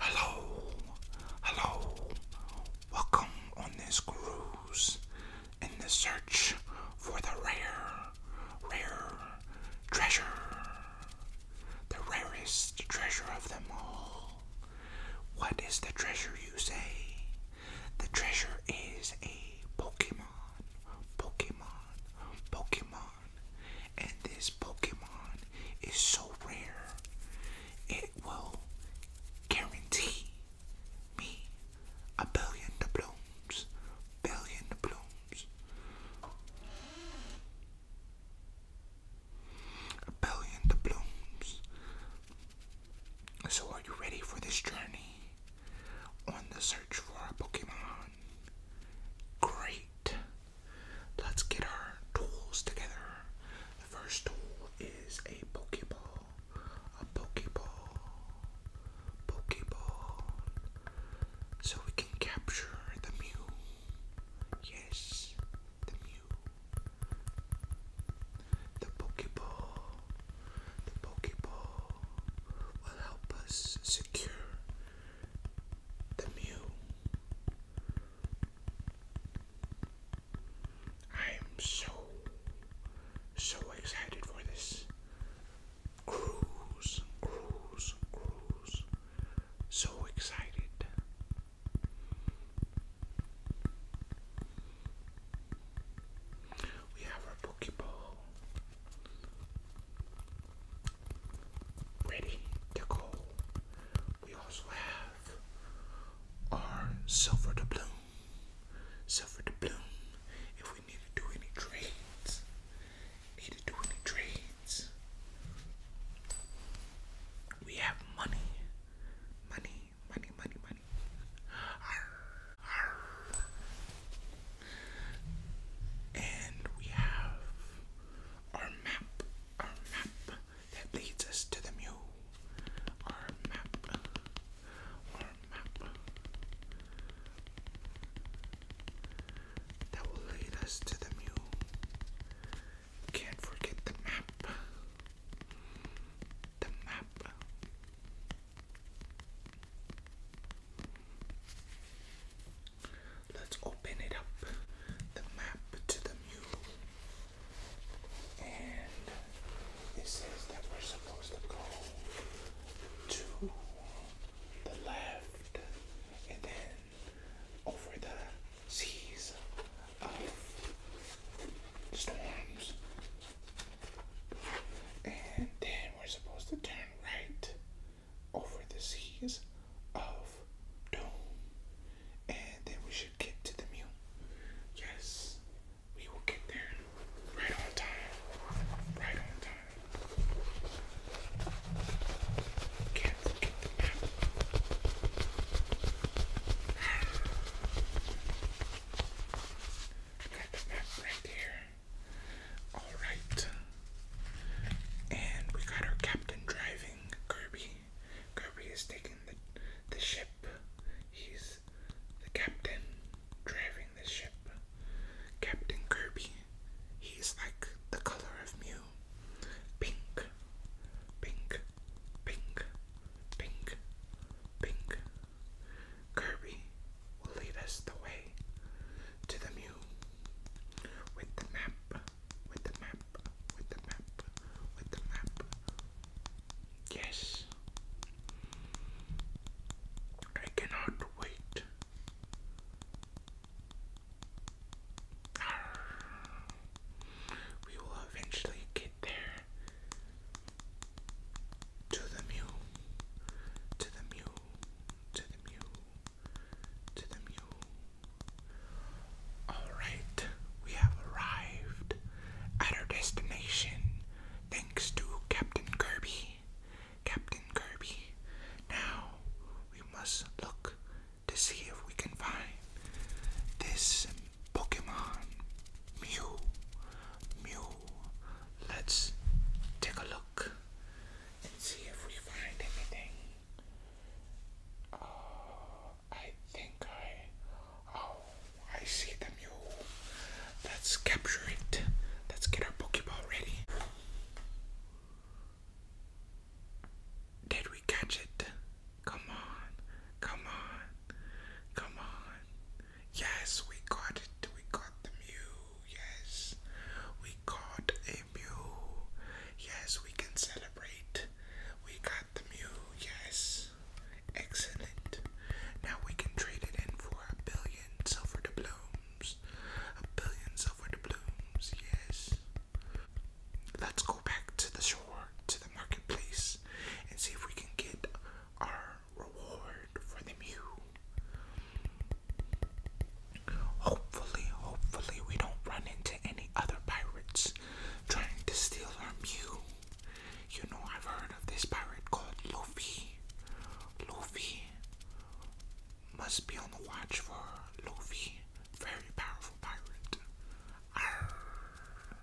Hello, hello, welcome on this cruise in the search for the rare, rare treasure, the rarest treasure of them all. What is the treasure you say? The treasure is a Pokemon, Pokemon, Pokemon, and this Pokemon is so rare, it will guarantee me a billion doubloons, billion doubloons a billion doubloons. So, are you ready for this journey on the search for a Pokemon? Great. Let's get our tools together. The first tool is a Pokeball, a Pokeball, Pokeball, so we can capture the Mew. Yes, the Mew. The Pokeball. The Pokeball will help us secure the Mew. I am so, so excited for this. Cruise, cruise, cruise. So excited. We have our Pokeball ready to go. We also have our Silver Doubloon. So for the bloom if we need to do any trades. Need to do any trades. We have money. Money, money, money, money. And we have our map. Our map that leads us to the mule. Our map that will lead us to the mule. Can't forget the map. The map. Let's open it up. The map to the mule and it says that we're supposed to go to the left and then over the seas of storms. And then we're supposed to turn right over the seas of doom. And then we should get to the mute. Yes, we will get there. Right on time. Right on time. Can't forget the map. Got the map right there. Alright. And we got our captain driving, Kirby. Kirby. Kirby is taking the, the ship. He's the captain driving the ship. Captain Kirby. He's like the color of Mew. Pink. Pink. Pink. Pink. Pink. Kirby will lead us the way to the Mew with the map with the map, with the map, with the map. Yes, I cannot wait. We will eventually get there. To the mule, to the mule, to the mule, to the mule. Alright, we have arrived at our destination thanks to Captain Kirby. Captain Kirby. Now we must look to see if we can find this Pokemon Mew. Mew. Let's take a look and see if we find anything. Uh, I think I. Oh, I see the mule. Let's capture it. Let's get our Pokeball ready. Did we catch it? Come on. Come on. Come on. Yes, we got it. We got the mule. Yes, we got a mule. Yes, we can celebrate. We got the mule. Yes, excellent. Now we can trade it in for a billion silver doubloons. A billion silver doubloons. Yes. Let's go back to the shore, to the marketplace, and see if we can get our reward for the Mew. Hopefully, hopefully, we don't run into any other pirates trying to steal our Mew. You know, I've heard of this pirate called Luffy. Luffy must be on the watch for Luffy, very powerful pirate. Arr.